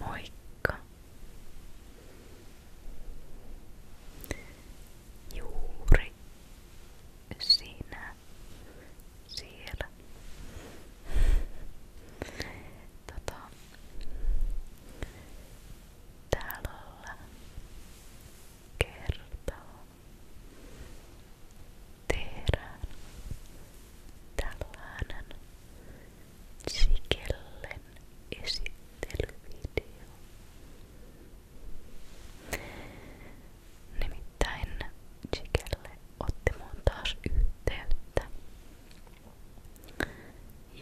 Moikka. Juuri sinä siellä. Tota, tällä kertaa tehdään tällainen sikellen esittelyvideo. Nimittäin Sikelle otti mun taas yhteyttä.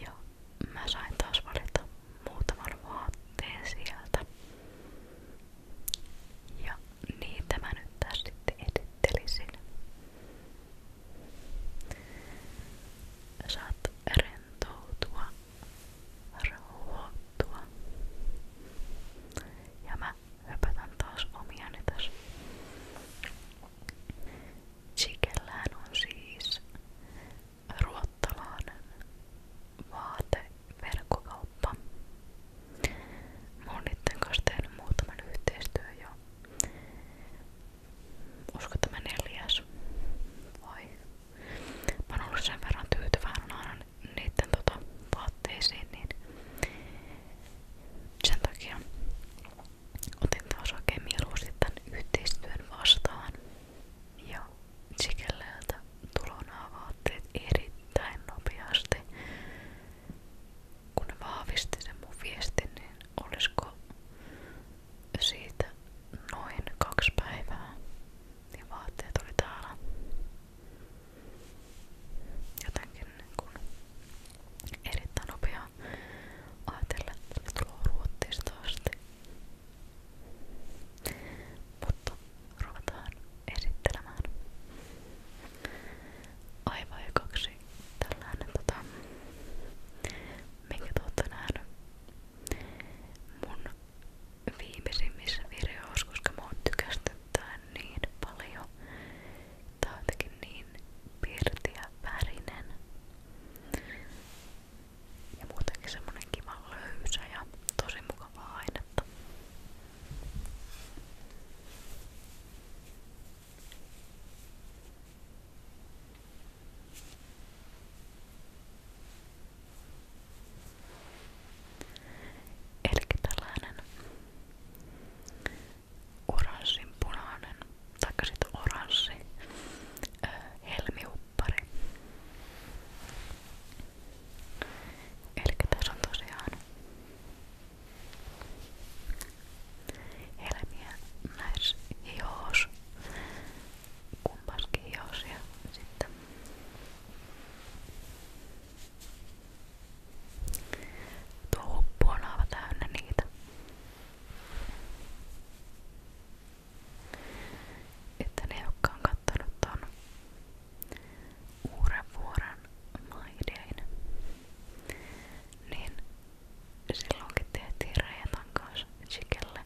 Ja mä sain taas valita muutaman vaatteen sieltä. Ja niitä mä nyt taas sitten esittelisin. Saat rentoutua, rauhoittua. Ja mä höpötän taas omiani tässä. Chikellään on siis ruottalainen vaateverkkokauppa. Mä oon niiden kanssa tehnyt muutaman yhteistyön jo. Usko tämä neljäs. Vai? Mä oon ollut sen verran tyytyväinen aina niiden tota, vaatteisiin, niin sen takia otin taas oikein mieluusti tämän yhteistyön vastaan. Ja sikäläältä tulonaa vaatteet erittäin nopeasti kun ne vahvisti sen mun viestin, niin olisiko siitä noin kaksi päivää, niin vaatteet oli täällä jotenkin niin kun erittäin nopea ajatella, että ne tulee Ruotsista asti. Mutta ruvetaan esittelemään. Aivan ekaksi tällainen tota, minkä te ootte nähnyt mun viimeisimmissä videoissa, koska mä oon tykästyttää niin paljon. Tää on jotenkin niin pirtiä värinen. Ja muutenkin semmonen kiva löysä ja tosi mukavaa ainetta. Eli tällainen oranssin punainen, taikka sitten oranssi öö, helmiuppari. Eli tässä on tosiaan helmiä näis hios kumpaskin hios ja sitten tuo huppu on aivan täynnä niitä että ne jotka on kattonut ton Uudenvuoren maidein, niin silloinkin tehtiin Reetan kanssa Chikelle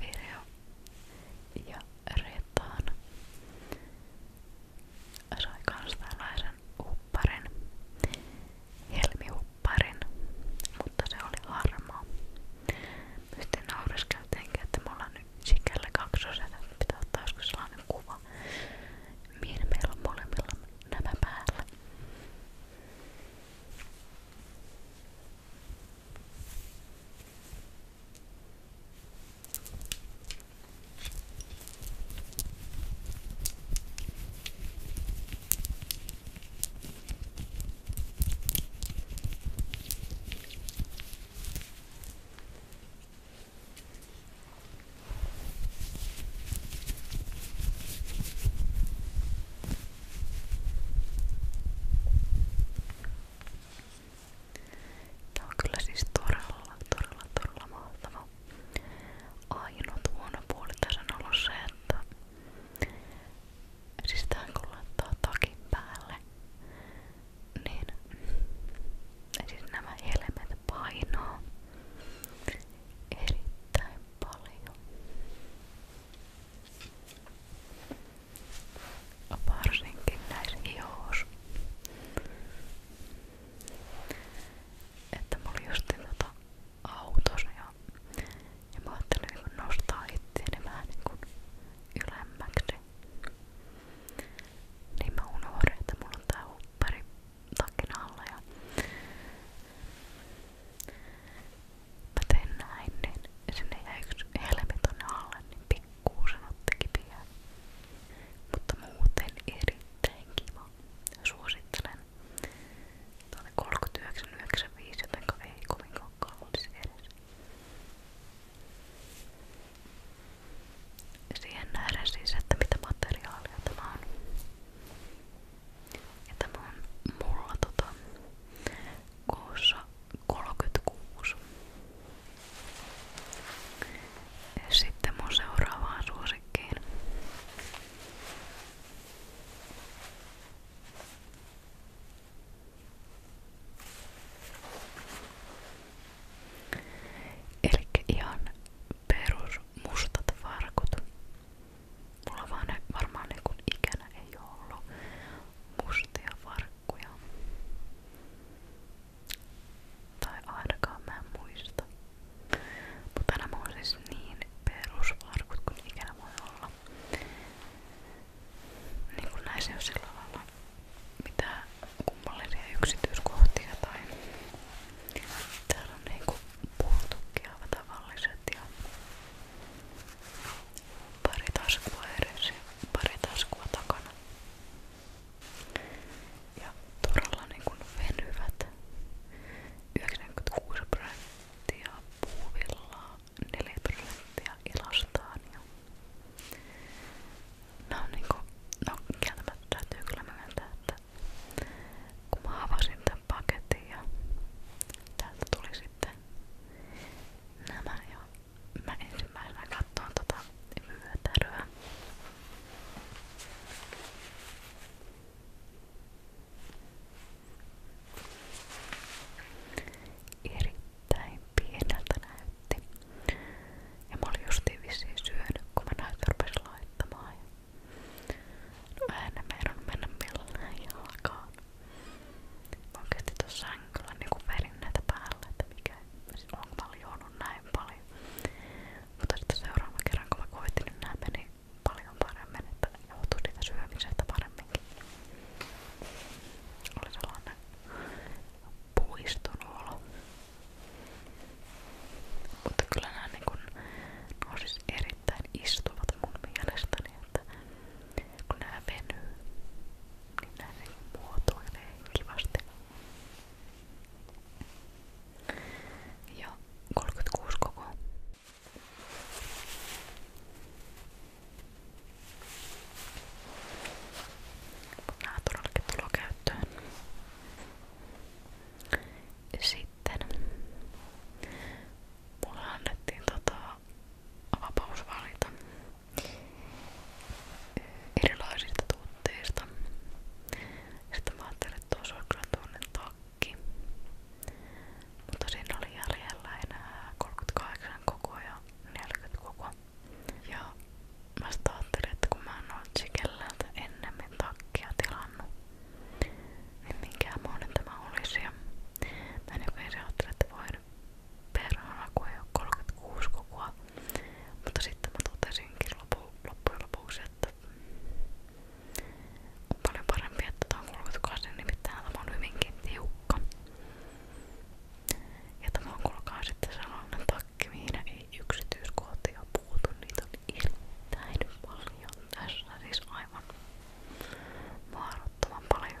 video ja Reetaan sai kans tällaisen upparin, helmiupparin, mutta se oli harmaa. Sitten naureskeltiinkin, että me ollaan sikällä kaksosena, pitää ottaa joskus sellainen kuva, mihin meillä on molemmilla nämä päällä. Tää on kyllä siis todella, todella, todella mahtava. Ainut huono puoli tässä on ollut se, että siis tää kun laittaa takin päälle niin siis nämä helmet painaa erittäin paljon. Varsinkin näissä hioissa. Että mä olin justin tota autossa ja, ja mä ajattelin nostaa itseäni vähän niin kuin ylemmäksi. Niin niin mä unohdin, että mulla on tää huppari takin alla ja mä tein näin, niin sinne jäi yksi helmi tonne alle, niin pikkuusen otti kipiä. Mutta muuten erittäin kiva. Suosittelen. Tää oli 39,95 jotenka ei kovin kallis edes. Siihen nähden siis, että mitä materiaalia tämä on. Ja tämä on mulla tota, koossa 36. Ja sitten mun seuraavaan suosikkiin. Elikkä ihan perus mustat farkut. Mulla vaan ne varmaan niin ikänä ei ollut mustia farkkuja. Tai ainakaan mä muista. Mutta siis nämä niin perusvarkut kuin ikinä voi olla. Niin kuin näissä on sillä mitään kummallisia yksityiskohtia tai täällä on niinku puutukkia tavalliset ja pari taskua edessä ja pari taskua takana ja todella niinku venyvät 96 prosenttia puuvillaa 4 prosenttia ilastaan ja No niinku, no kieltämättä täytyy kyllä myöntää, että kun mä avasin tämän paketin ja täältä tuli sitten nämä ja mä ensimmäisenä katsoin tota vyötäröä. Erittäin pieneltä näytti. Ja mä olin justiin vissiin syönyt, kun mä näitä rupesin laittamaan. Ja no en meidän mennä millään jalkaan. Mä oikeesti tossa sängyllä niinku velin näitä päälle, että mikä siis on paljon näin paljon. Mutta sitten seuraavan kerran kun mä koitin, niin nää meni paljon paremmin, että joutui niitä syömisestä paremminkin. Oli sellainen puiston olo. Mutta kyllä nämä niin kun, no siis erittäin istuvat mun mielestäni, että kun nämä venyy, niin nämä niin muotoilee kivasti. Ja 36 koko. Nämä todellakin tullut käyttöön. Sitten mulle annettiin tota vapaus valita erilaisista tuotteista. Sitten mä ajattelin, että tuossa on kyllä tuonne takki. Mutta siinä oli jäljellä enää 38 koko ja 40 koko. Ja mä ajattelin, että kun mä oon Notchikellältä ennemmin takkia tilannut, niin minkään muinen tämä olisi. Ja mä en joku ajattelin, että voin perhana, kun ei oo 36 kokoa. Mutta sitten mä totesinkin lopu, loppujen lopuksi, että on paljon parempi, että tää on 38, nimittäin tämä on hyvinkin tiukka. Ja tämä on kuulkaa sitten sellainen takki, mihin ei yksityiskohtia puutu, niitä on erittäin paljon tässä, siis aivan mahdottoman paljon.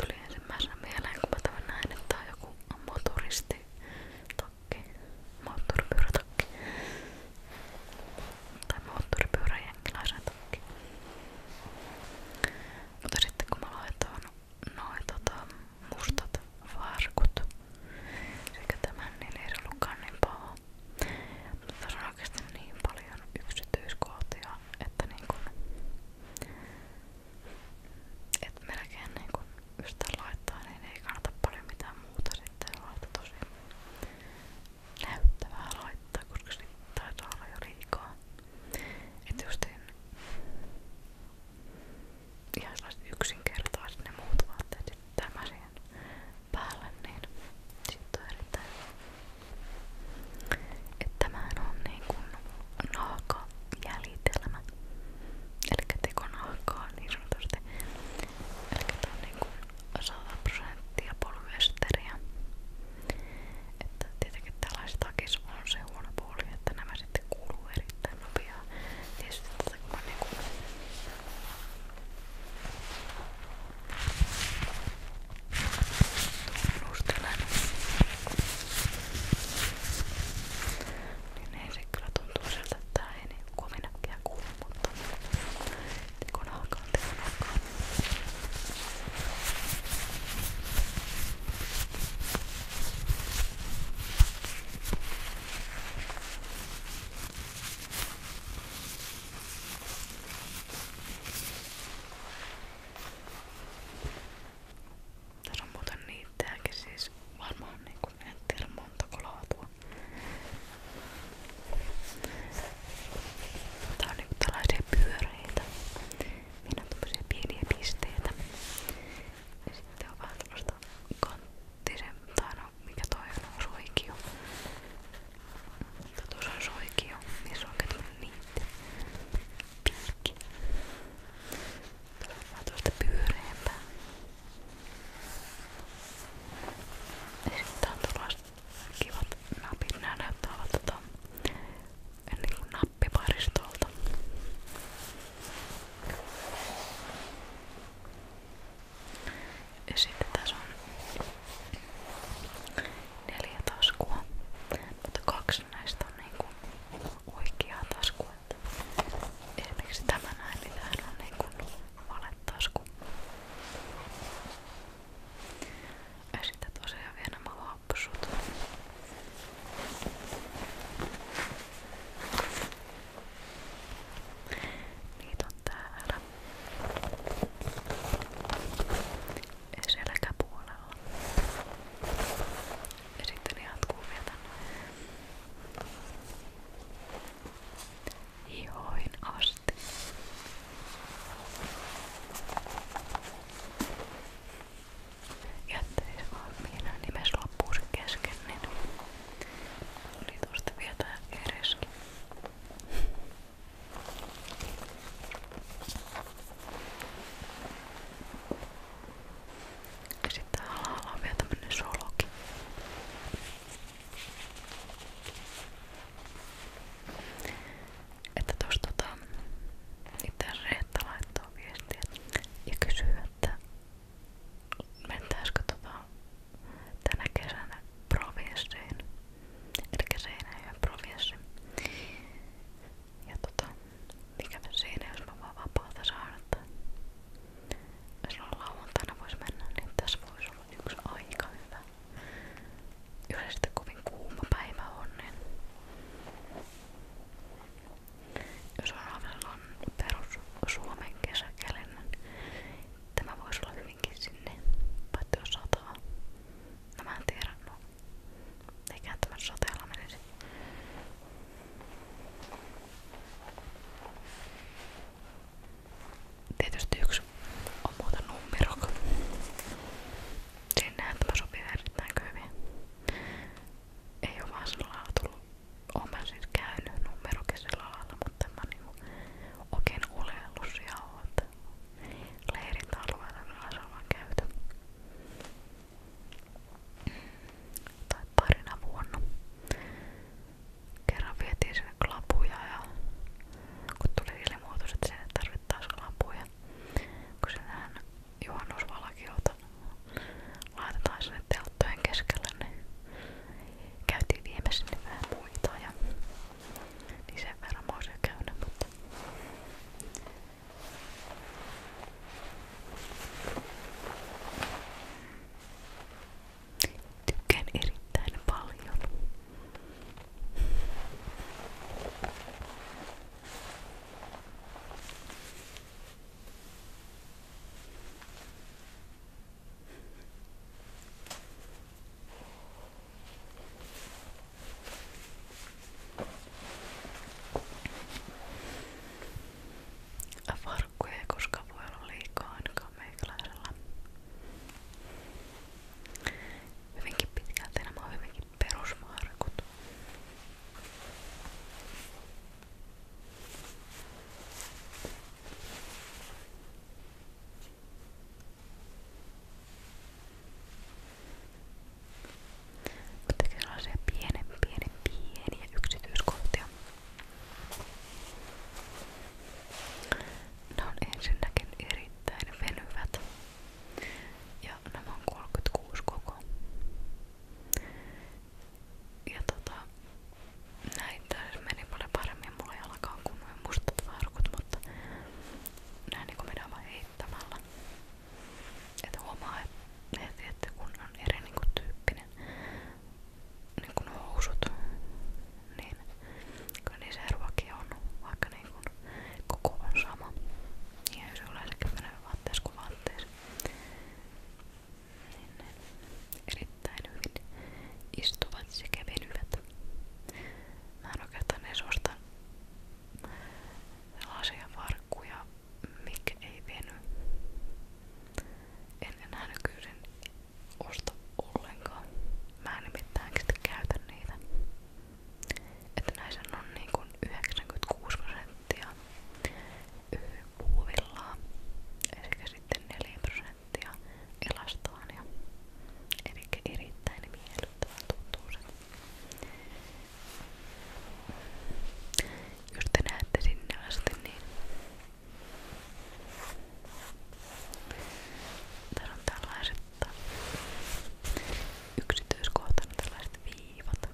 Tuli ensimmäisenä mieleen, kun mä tämän näin, että on joku motoristi takki, moottoripyörätakki tai moottoripyöräjenkiläisen takki. Mutta sitten kun mä laitoin noin tota, mustat varkut sekä tämän, niin ei se ollutkaan niin paha. Mutta tässä on oikeasti niin paljon yksityiskohtia, että niin kun, et melkein niin kun yhtään laittaa, niin ei kannata paljon mitään muuta sitten laittaa tosi näyttävää laittaa, koska sit taitaa olla jo liikaa. Et justiin ihan sellaiset yksinkertaiset ne muut vaatteet, sitten tämä siihen päälle, niin sitten on erittäin hyvä. Että tämähän on niinku naakajäljitelmä. Eli tekonahkaa niin sanotusti. Eli tää on niinku 100 prosenttia polyesteriä. Että tietenkin tällaiset takis on se huono puoli, että nämä sitten kuuluu erittäin nopeaa. Tietysti tätä kun mä niinku tunnustelen niin ei se kyllä tuntuu siltä, että tää ei niin kovin äkkiä kuulu, mutta kun alkaa, tekon alkaa Mä tässä on muuten niittääkin siis varmaan niinku en tiedä montako laatua. Tää on niinku tällaisia pyöreitä. Minä on tommosia pieniä pisteitä. Ja sitten on vähän tällaista kanttisen, tai no mikä toi on, suikio. Tuossa niin on soikio, missä on katsonut niitä. Piikki. Tuossa on tuosta pyöreämpää. Ja sitten on tuollaiset kivat napit. Nää näyttää olla tota, niin kuin nappiparistolta. Ja sitten tässä on neljä taskua, mutta kaksi näistä on niinku oikeaa taskua. Esimerkiksi tämä näin, mitä niin hän on niinku valetasku. Ja sitten tosiaan vielä nämä hapsut. Niitä on täällä selkäpuolella. Ja sitten jatkuu vielä tänne hihoihin asti. Jättelin siis vaan mihin nimessä loppuu se kesken, niin oli tosta vielä tää kereskin. Ja sitten alhaalla on vielä tämmönen soloki. Että tos tota itse Reetta laittoi viestiä ja kysyy, että mentäisikö tota tänä kesänä provinssiin Elikkä Seinäjoen provinssi. Ja tota, ikävä siinä, jos mä vaan vapaata saan, että jos lauantaina vois mennä, niin tässä voisi olla yksi aika hyvä. Yleisesti kovin kuuma päivä on, niin jos on perus Suomen kesäkeli, niin tämä voisi olla hyvinkin sinne, paitsi jos sataa. No mä en tiedä. No. Eikä tämän soteella menisi. Tietysti yksi on muuten nummero. Sinnehän tämä sopii erittäin hyvin. Ei oo vaan sillä lailla tullut. Oon mä siis käynyt numerokin sillä lailla, mutta en mä niinku oikein oleellut siellä oo, käyty. Leirit alueella myös ollaan käyty. Tai parina vuonna. Kerran vietiin sinne klapuja ja kun tuli ilmoitus, että sinne tarvittaisiin klapuja. Kun sinähän juhannusvalkiota laitetaan sinne telttojen keskelle, niin käytiin viime sinne vähän muita ja niin sen verran mä oon käydä, mutta... Tykkään erittäin paljon. Mä Farkkuja ei koskaan voi olla liikaa ainakaan meikäläisellä. Hyvinkin pitkälti nämä on hyvinkin perusmarkut. Mutta sellaisia pienen, pienen, pieniä yksityiskohtia. Ne on ensinnäkin erittäin venyvät. Ja nämä on 36 koko. Ja tota, näitä meni paljon paremmin mulla jalkaan kuin muistat varkut, mutta näin niin kuin heittämällä. Että huomaa että kun on eri niin kuin tyyppinen niin kuin housut, niin niin se eroakin on, vaikka niin kuin koko sama. Ja jos yleensäkin menee vaatteessa Niin erittäin hyvin istuvat sekä venyvät. Mä oikeastaan edes Sellaisia farkkuja, mikä ei veny. En enää nykyisin osta ollenkaan. Mä en nimittäin käytä niitä. Että näissä on niin kuin 96 prosenttia puuvillaa, eli sitten 4 prosenttia elastoon ja elikkä erittäin miellyttävän tuntuu se. Jos te näette sinne asti, niin tässä on tällaiset yksityiskohtana tällaiset viivat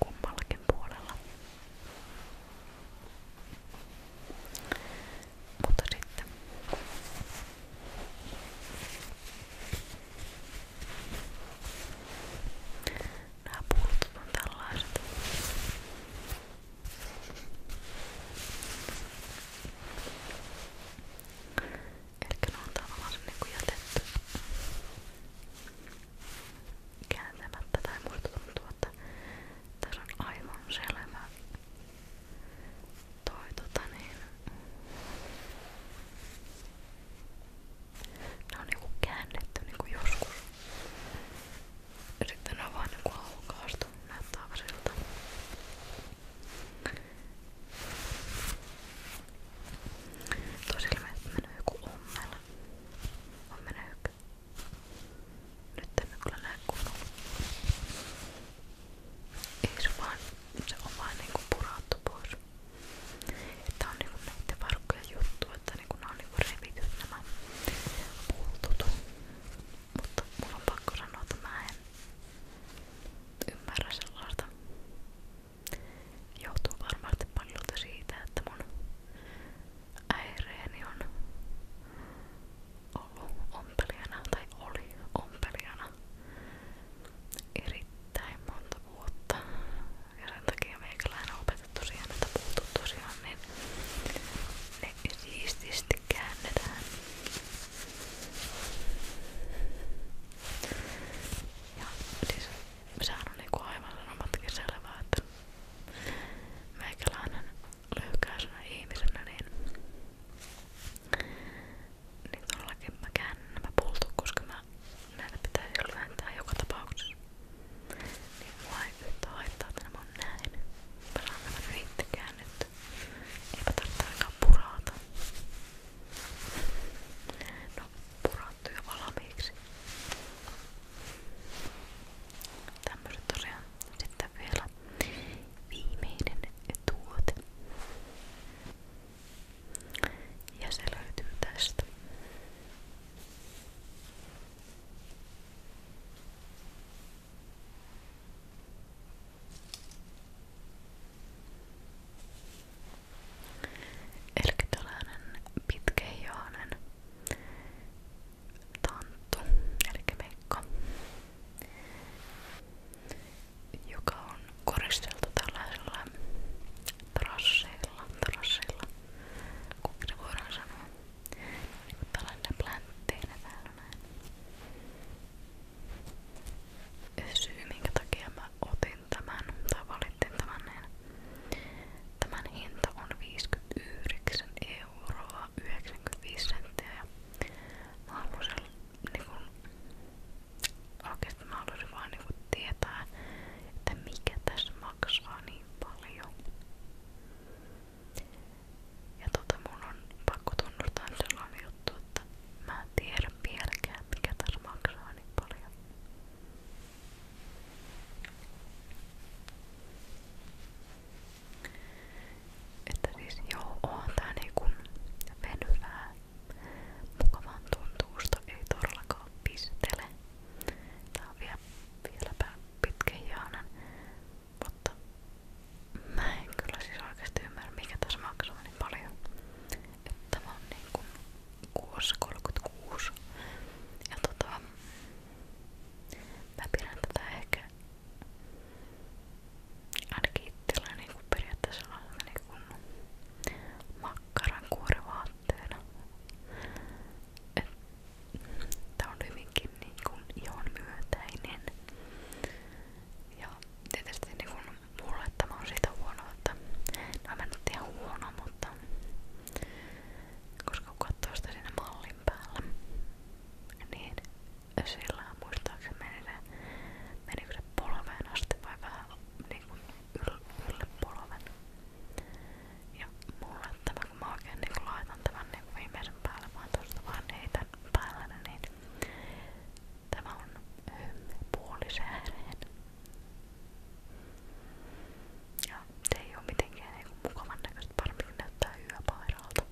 kummallakin puolella. Mutta sitten nämä pultut on tällaiset. Eli ne on tavallaan niinku jätetty kääntämättä tai muista tuntuu, että tässä on aivan selvä toi tota niin ne on niinku käännetty niinku joskus ja sitten ne on vaan niinku aukaistu näyttää siltä Tosi ilmeisesti menee joku ommel. On meneekö? Nyt emme kyllä näe kunnolla. Ei se vaan, se on vaan niinku purattu pois. Tää on niinku näiden varkkojen juttu, että niinku nää on niinku revityt nämä puutut. Mutta mulla on pakko sanoa, että mä en ymmärrä sellaista. Joutuu varmasti paljolta siitä, että mun äireeni on ollut ompelijana tai oli ompelijana erittäin monta vuotta. Ja sen takia meikäläinen on opetettu siihen, että puutut tosiaan, niin ne siististi käännetään. Ja siis sehän on niinku aivan sanomatkin selvää, että meikäläinen lyhykäisenä ihmisenä, niin, niin todellakin mä käännän nämä pultut, koska mä näitä pitäisi jo lyhentää joka tapauksessa. Niin mulla ei yhtä haittaa, että nämä on näin. Mä saan nämä yhtä käännetty. Eipä tarvitse ainakaan purata. No, purattu jo valmiiksi. Tämmöiset tosiaan. Sitten vielä viimeinen tuote. Ja se löytyy tästä. Eli tällainen pitkähihainen tanttu, eli meikka, joka on koristeltu tällaisella trasseilla, trasseilla, kuinka se voidaan sanoa, niin kuin tällainen pläntteinä täällä näin. Syy minkä takia mä otin tämän, tai sitten tämän, niin, tämän hinta on 59 euroa 95 senttiä ja mä halusin niinku, oikeesti mä halusin vaan niinku tietää, että mikä tässä maksaa niin paljon. Ja tota mun on pakko tunnustaa sellainen juttu, että mä en tiedä vieläkään mikä tässä maksaa niin paljon. Että siis joo, on tää niinku venyvää. Mukavaan tuntuusta ei todellakaan pistele. Tää on vielä, vieläpä pitkähiainen. Mutta mä en kyllä siis oikeesti ymmärrä mikä tässä maksaa niin paljon että mä oon niinku kuussa 36 ja tota mä pidän tätä ehkä ainakin itsellä niinku periaatteessa niinku makkaran kuorivaatteena et tää on hyvinkin niinku ihon myötäinen ja tietysti niinku mulle tämä on siitä huono, että nämä no, on ihan huono, mutta koska kun katsoo sitä siinä mallin päällä, niin sillä muistaakseni meni se, menikö se polveen asti vai vähän niin kuin yl, ylle polven. Ja mulle tämä, kun mä oikein niin kun laitan tämän niin kuin viimeisen päälle, vaan tuosta vaan heitän päälle, niin tämä on puolisääreen ja se ei oo mitenkään niinku mukavan näköistä, varminkin näyttää hyvä pairalta.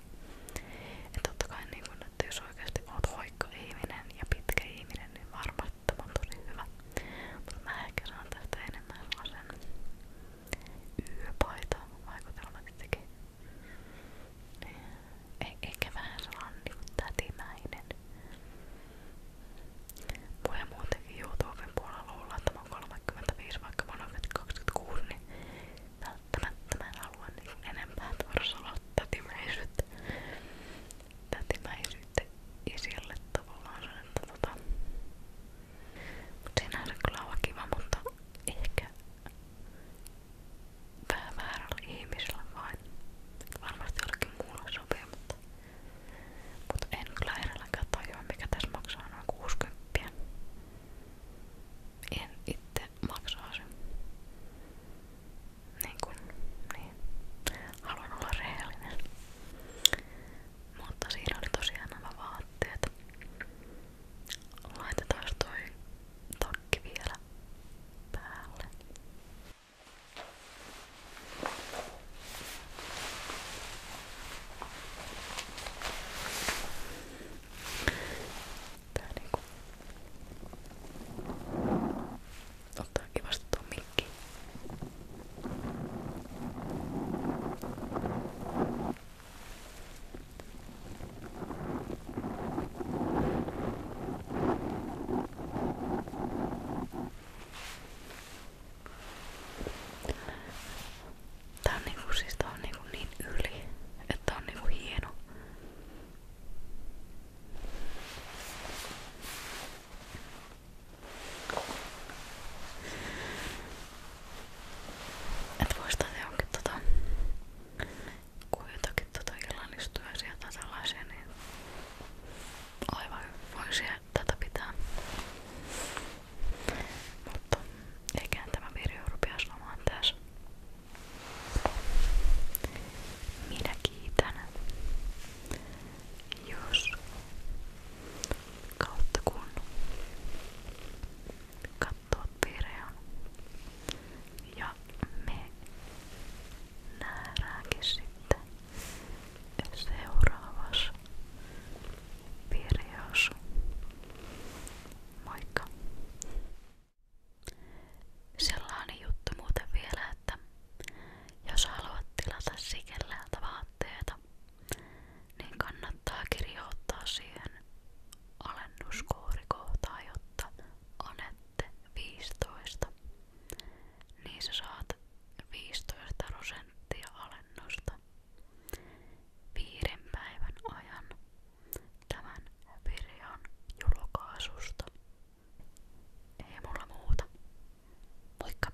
Et totta kai niinku, että jos oikeesti oot hoikka ihminen ja pitkä ihminen, niin varmasti tämä on tosi hyvä. Mutta mä ehkä saan tästä enemmän sellaisen yöpaita vaikutelma tietenkin. Niin, Eikä vähän sellainen niinku tätimäinen voi muutenkin YouTuben puolella luulla, että mä oon 35, vaikka mä oon 26, niin välttämättä mä en halua niin enempää torsolla tätimäisyyttä. Tätimäisyyttä isille tavallaan sen, että tota... Mut sinänsä kyllä on kiva, mutta ehkä vähän väärällä ihmisellä vain. Varmasti jollekin muulla sopii, mutta mutta en kyllä edelläkään tajua, mikä tässä maksaa noin 60. En itse maksaa sen. Niin kuin, niin. Haluan olla rehellinen. Mutta siinä oli tosiaan nämä vaatteet. Laitetaan toi takki vielä päälle. Tää niinku ottaa kivasti tuon mikkiin. Tää Tää on niinku siis tää on niinku niin yli, että on niinku hieno. Et vois tehdä jonkin tota, kun jotakin tota illallistuja sieltä sellaisia, niin aivan voisi tätä pitää. Mutta eiköhän tämä video rupea lomaan tässä. Minä kiitän. Jos kautta kun katsot videon ja me nähdäänkin sitten seuraavassa videossa. Moikka! Sellainen juttu muuten vielä, että jos haluat tilata sikellältä vaatteita, niin kannattaa kirjoittaa siihen alennuskoodikohtaa, jotta anette 15. Niin sä saat 15 prosenttia alennusta viiden päivän ajan tämän videon julkaisusta. Ei mulla muuta. Moikka!